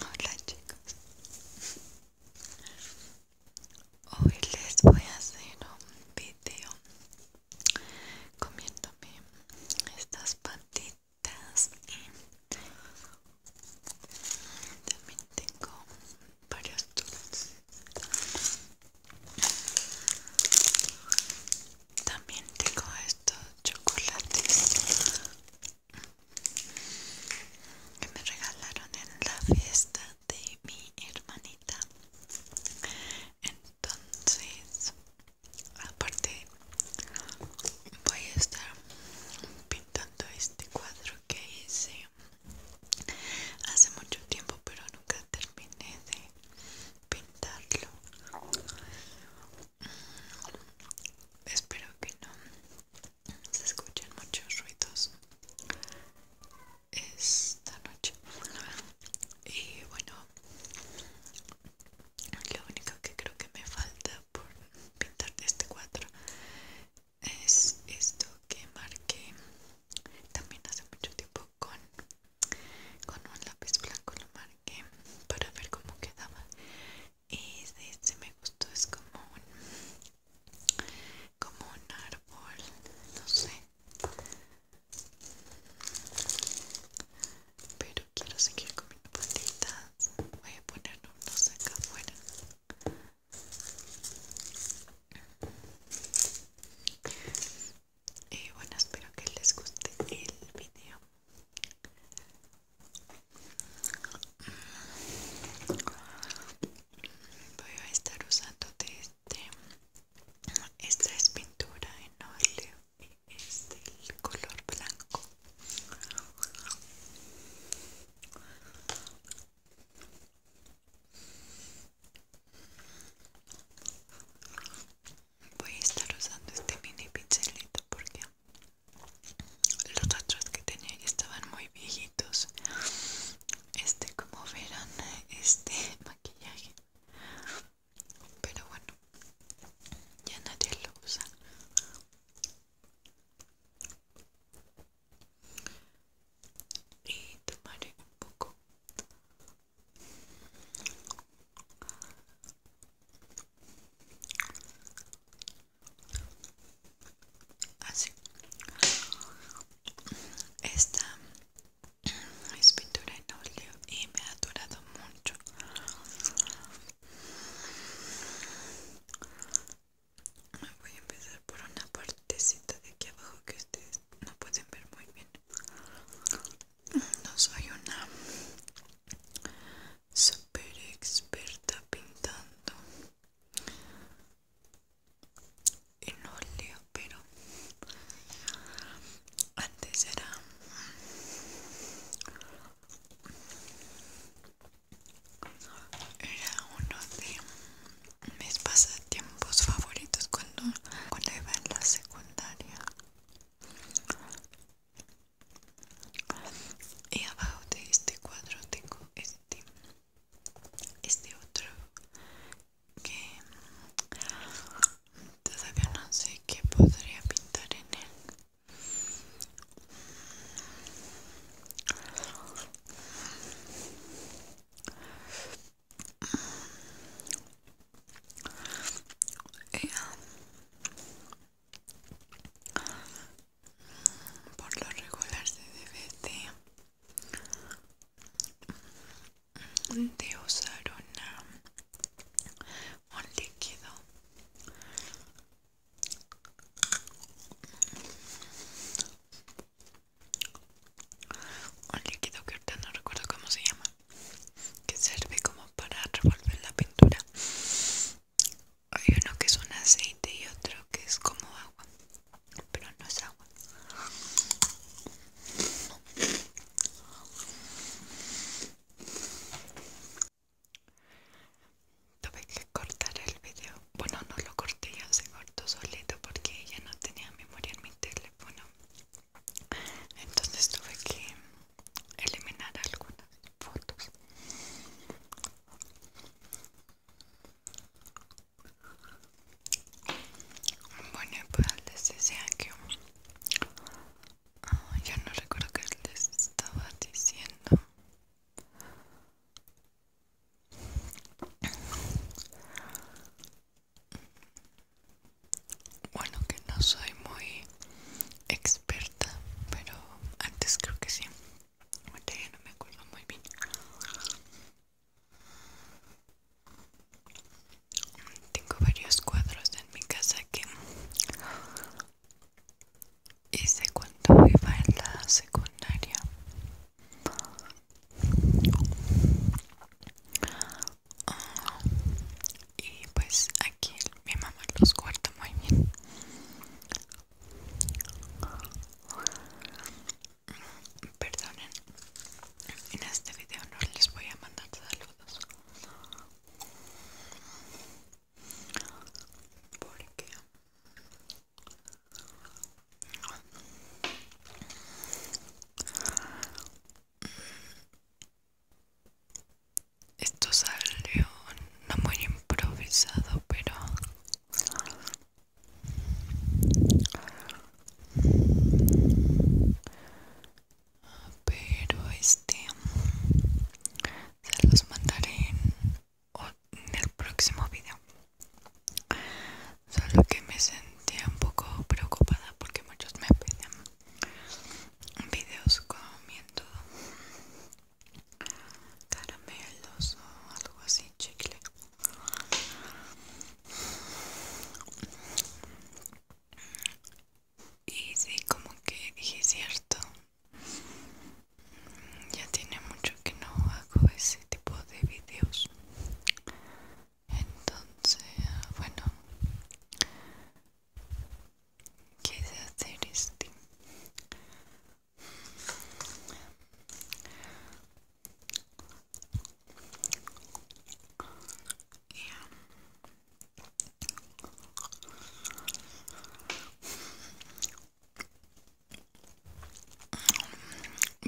Hola chicos Hoy les voy a hacer un video comiéndome estas patitas también tengo varios dulces también tengo estos chocolates que me regalaron en la fiesta de mi hermanita. Entonces, aparte, voy a estar pintando este cuadro que hice hace mucho tiempo, pero nunca terminé de pintarlo espero que no se escuchen muchos ruidos esta noche y bueno lo único que creo que me falta por pintar de este cuadro es esto que marqué también hace mucho tiempo con con un lápiz blanco lo marqué para ver cómo quedaba y este me gustó es como un como un árbol no sé pero quiero seguir comiendo patitas voy a poner unos acá afuera y bueno espero que les guste el video voy a estar usando este esta es pintura en óleo y es del color blanco Voy a estar usando este mini pincelito porque los otros que tenía estaban muy viejitos. Este, como verán, este maquillaje. Pero bueno, ya nadie lo usa. Y tomaré un poco Así. Esta es pintura en óleo y me ha durado mucho. voy a empezar por una partecita de aquí abajo que no pueden ver muy bien no soy una super experta pintando no leo pero antes era era uno de mis pasatiempos favoritos cuando, cuando iba en la secundaria. Y abajo de este cuadro tengo este, este otro que todavía no sé qué podría pintar en él por lo regular se debe de, usar un líquido un líquido que ahorita no recuerdo cómo se llama que sirve como para revolver la pintura hay uno que es un aceite y otro que es como agua pero no es agua tuve que cortar el video bueno no lo corté ya se cortó solito porque ya no tenía memoria en mi tele bueno, entonces tuve que eliminar algunas fotos bueno y pues les decía que yo ah, ya no recuerdo qué les estaba diciendo bueno, que no soy muy experta, pero antes creo que sí. Ahorita ya no me acuerdo muy bien. Tengo varios cuadros en mi casa que hice cuando iba en la secundaria y pues aquí mi mamá los guarda muy bien. Perdonen, en este video no les voy a mandar saludos porque esto salió no muy improvisado, pero pero este se los mandaré en, el próximo video Solo que me sentía un poco preocupada porque muchos me pedían videos comiendo caramelos o algo así, chicle. Y sí, como que dije cierto. Ya tiene mucho que no hago ese tipo de videos entonces bueno quise hacer este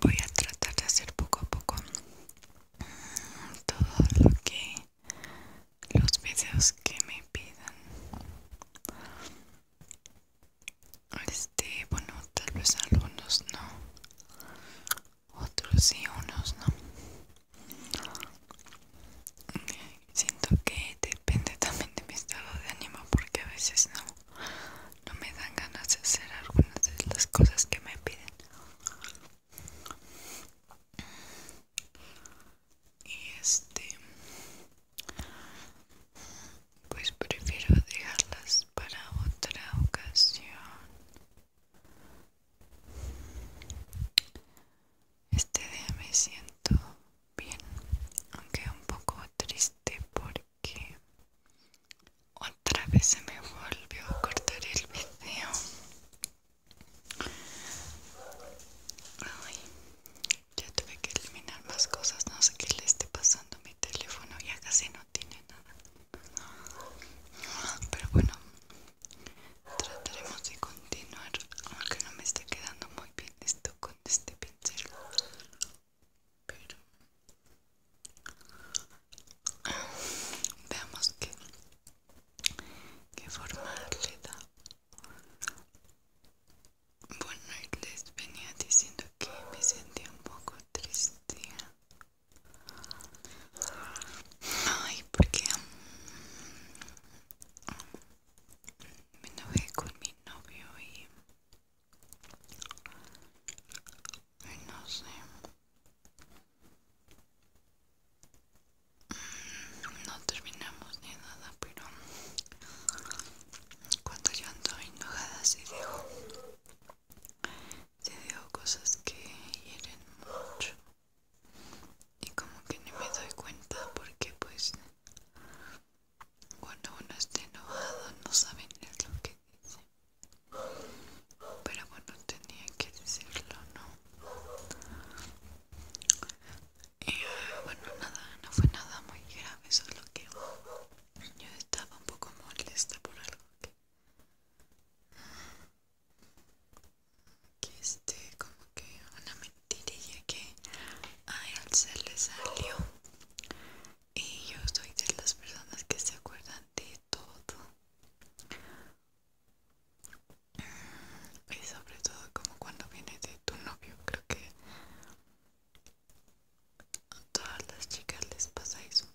voy a tratar de hacer poco a poco mm, todo lo que los videos que me pidan este bueno tal vez algunos no otros sí unos no siento que depende también de mi estado de ánimo porque a veces no no me dan ganas de hacer algunas de las cosas que me piden y este pues prefiero dejarlas para otra ocasión este día me siento bien aunque un poco triste por que otra vez se me volvió a cortar el video. Ay, ya tuve que eliminar más cosas. No sé qué le esté pasando a mi teléfono. Ya casi no tiene nada. Pero bueno, trataremos de continuar. Aunque no me está quedando muy bien esto con este pincel pero veamos qué, qué forma le da bueno les venía diciendo que me sentía un poco triste ay porque um, me enojé con mi novio y y no sé. Mm, no terminamos ni nada, pero cuando yo ando enojada se digo, Se digo cosas que hieren mucho y como que ni me doy cuenta porque pues cuando uno está enojado no sabe ni lo que dice. Pero bueno, tenía que decirlo, ¿no? bueno, nada, no fue nada muy grave, solo que yo estaba un poco molesta por algo que... Que este, como que una mentirilla que a él se le salió y yo soy de las personas que se acuerdan de todo y sobre todo como cuando viene de tu novio creo que a todas las chicas les pasa eso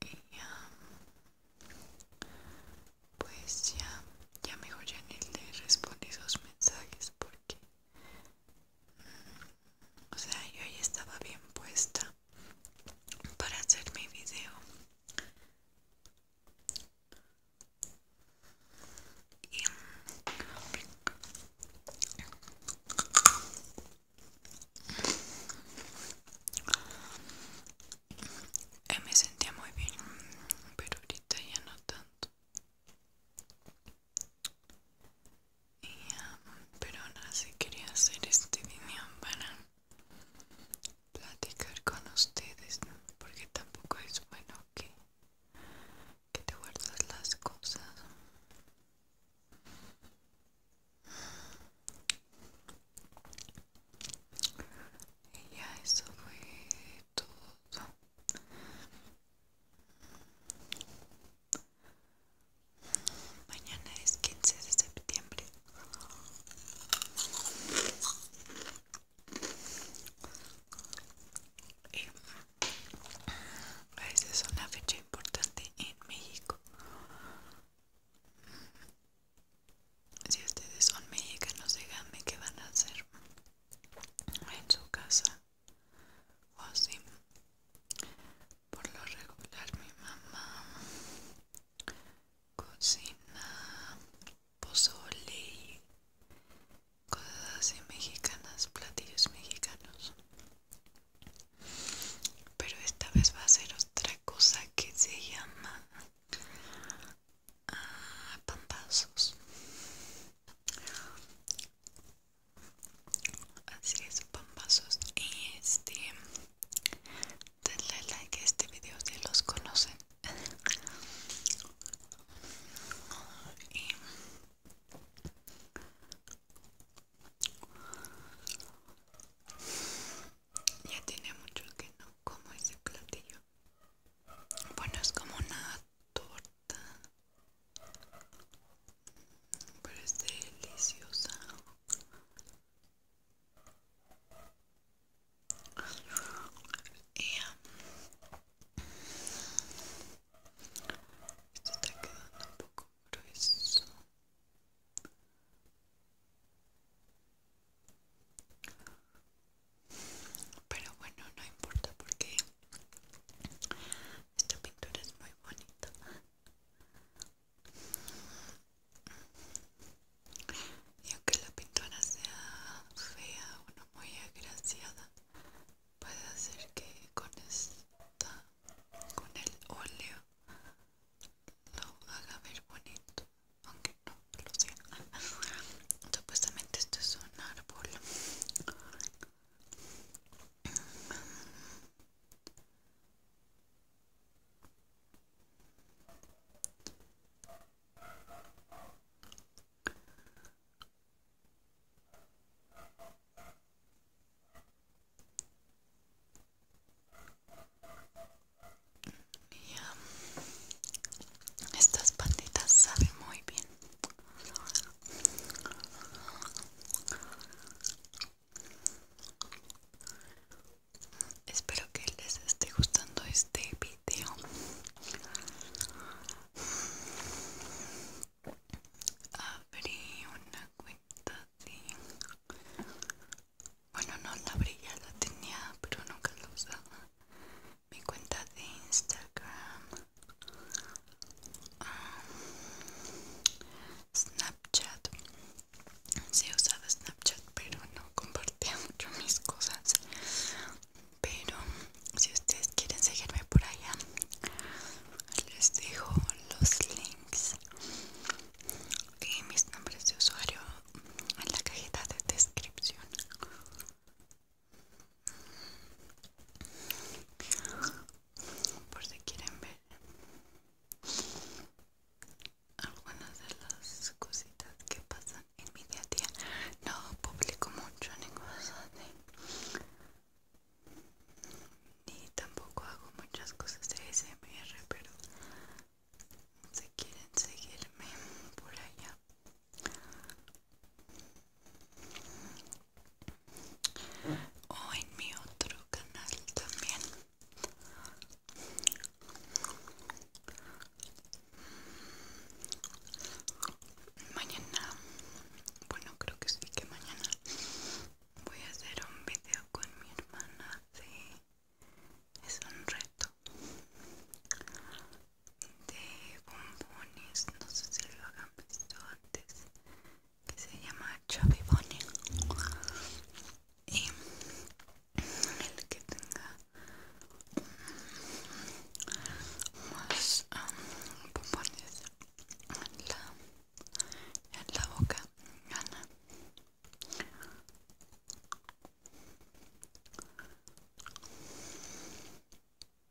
y pues ya ya mejor ya ni le respondí esos mensajes porque o sea, yo ya estaba bien puesta para hacer mi video. Y... Eh, me sentía muy bien, pero ahorita ya no tanto. Y, um, pero ahora sí quería hacer este video para platicar con ustedes, porque tampoco es bueno que, que te guardas las cosas. Y ya eso fue todo. Mañana es 15 de septiembre. esa es una fecha importante en México. Si ustedes son mexicanos, díganme qué van a hacer en su casa o así por lo regular mi mamá cocina pozole cosas así mexicanas platillos mexicanos pero esta vez va a ser otra cosa que se llama ah, pandazos Así es, pambazos. Y este, denle like a este video si los conocen. ya tiene mucho que no como ese platillo. Bueno, es como una torta pero es deliciosa y, está quedando un poco grueso pero bueno no importa porque esta pintura es muy bonita. Y aunque la pintura sea fea o no muy agraciada, puede hacer que con esta, con el óleo, lo haga ver bonito, aunque no lo sea. Supuestamente esto es un árbol estas patitas saben muy bien. Espero que les esté gustando este video. Abrí una cuenta Bueno, no la abrí, ya la tenía, pero nunca la usaba mi cuenta de Instagram, um, Snapchat. Sí he Snapchat, pero no compartía mucho mis cosas. Pero si ustedes quieren seguirme por allá, les dejo los links y mis nombres de usuario en la cajita de descripción por si quieren ver algunas de las cositas que pasan en mi día a día no publico mucho ni cosas de ni tampoco hago muchas cosas de SMR pero si quieren seguirme por allá o en mi otro canal también mañana bueno creo que sí que mañana voy a hacer un video con mi hermana es un reto de bombones, no sé si lo hagan visto antes, que se llama Chubby Bunny. Y eh, el que tenga más bombones en la, en la boca gana.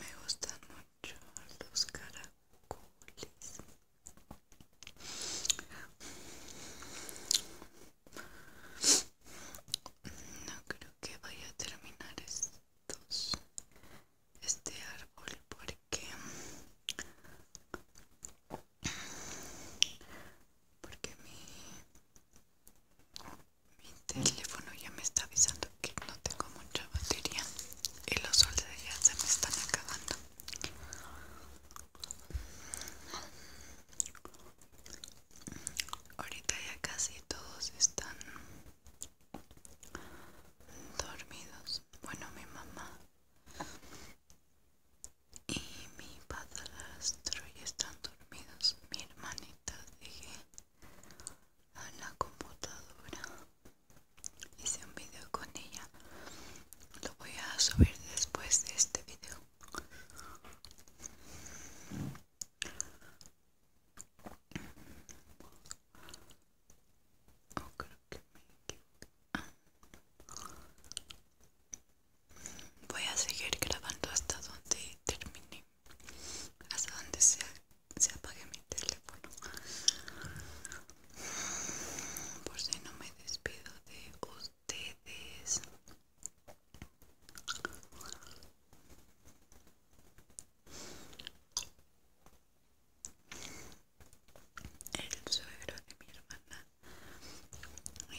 Me gustan mucho los caracoles. No creo que vaya a terminar esto este árbol porque porque mi mi teléfono ya me está avisando que no tengo mucha batería y los soles ya se me están acabando ahorita ya casi todos están dormidos bueno mi mamá y mi padrastro y están dormidos mi hermanita dije a la computadora hice un video con ella lo voy a subir después de este video Voy a seguir grabando hasta donde termine, hasta donde se apague mi teléfono. Por si no me despido de ustedes. El suegro de mi hermana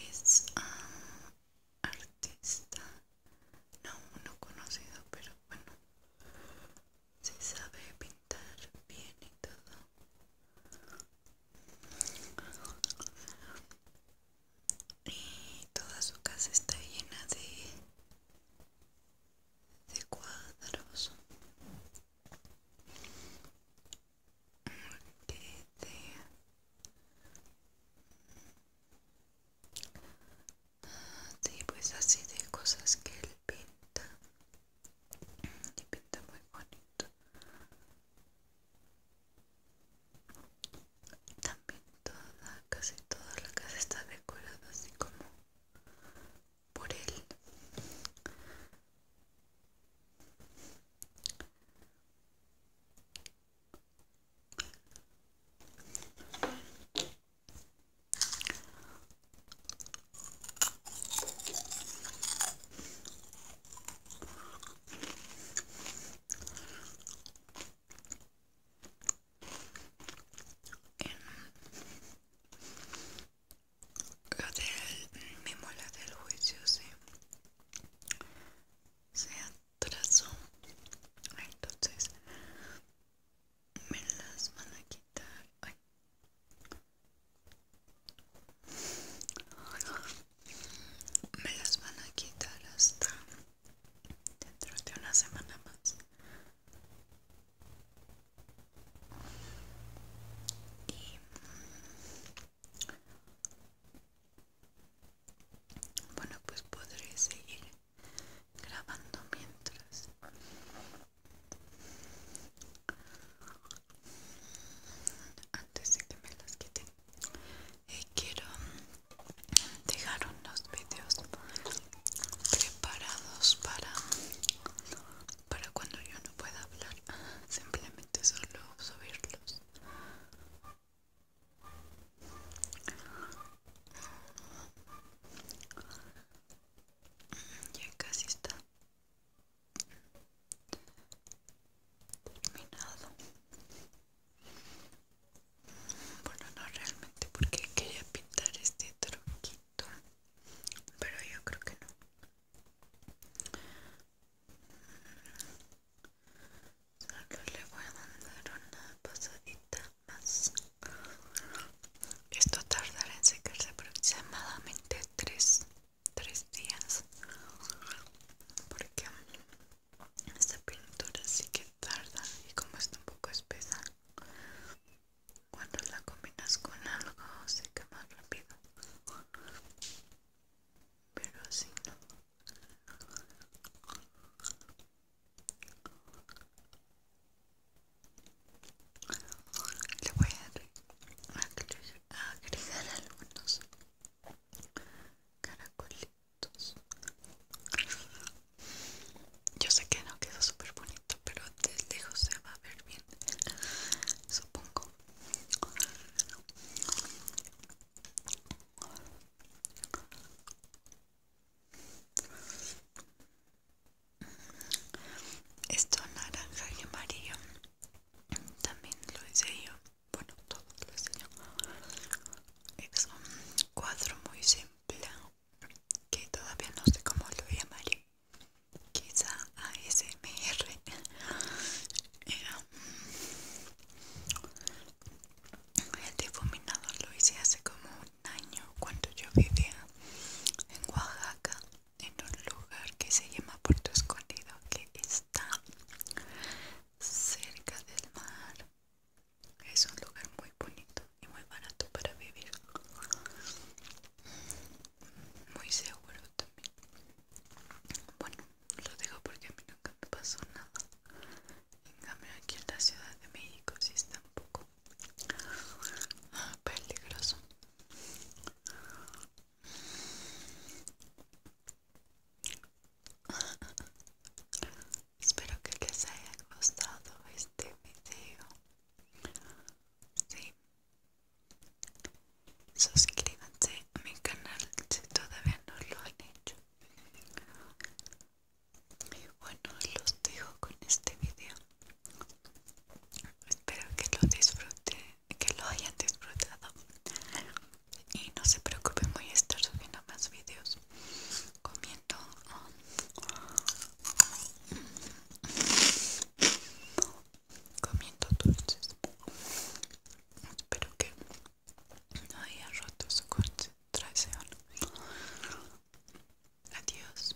es ah, artista, no uno conocido, pero bueno, se sabe pintar bien y todo y toda su casa está llena de, de cuadros de, de, pues así de cosas que él pinta. Y pinta muy bonito. También toda, casi toda la casa está decorada así como por él en del mismo la del juicio se, atrasó entonces me las van a quitar me las van a quitar hasta dentro de una semana más y mm, bueno pues podré seguir grabando mientras antes de que me las quiten y eh, quiero dejar unos vídeos preparados para para cuando yo no pueda hablar simplemente solo subirlos mm, ya casi está terminado bueno, no realmente porque quería pintar este truquito pero yo creo que no. Solo le voy a mandar una pasadita más. Esto tardará en secarse aproximadamente 3 días porque esta pintura sí que tarda y como está un poco espesa cuando la combinas con algo se más rápido pero así no le voy a agregar algunos caracolitos yo sé que no quedó súper bonito, pero desde lejos se va a ver bien, supongo. Esto naranja y amarillo también lo hice yo bueno, todos lo señores. es un cuadro muy simple que todavía no sé cómo lo llamaré quizá ASMR el difuminado lo hice hace como un año cuando yo vivía en Oaxaca en un lugar que se llama Puerto Escondido que está cerca del mar es un lugar muy bonito y muy barato para vivir. Muy seguro también. Bueno, lo digo porque a mí nunca me pasó nada. En cambio aquí en la Ciudad de México sí está un poco ah, peligroso. Espero que les haya gustado este video. Suscríbanse a mi canal si todavía no lo han hecho. Y bueno, los dejo con este video. Espero que lo disfruten, que lo hayan disfrutado y no se preocupen voy a estar subiendo más videos comiendo um, comiendo dulces espero que no haya roto su concentración adiós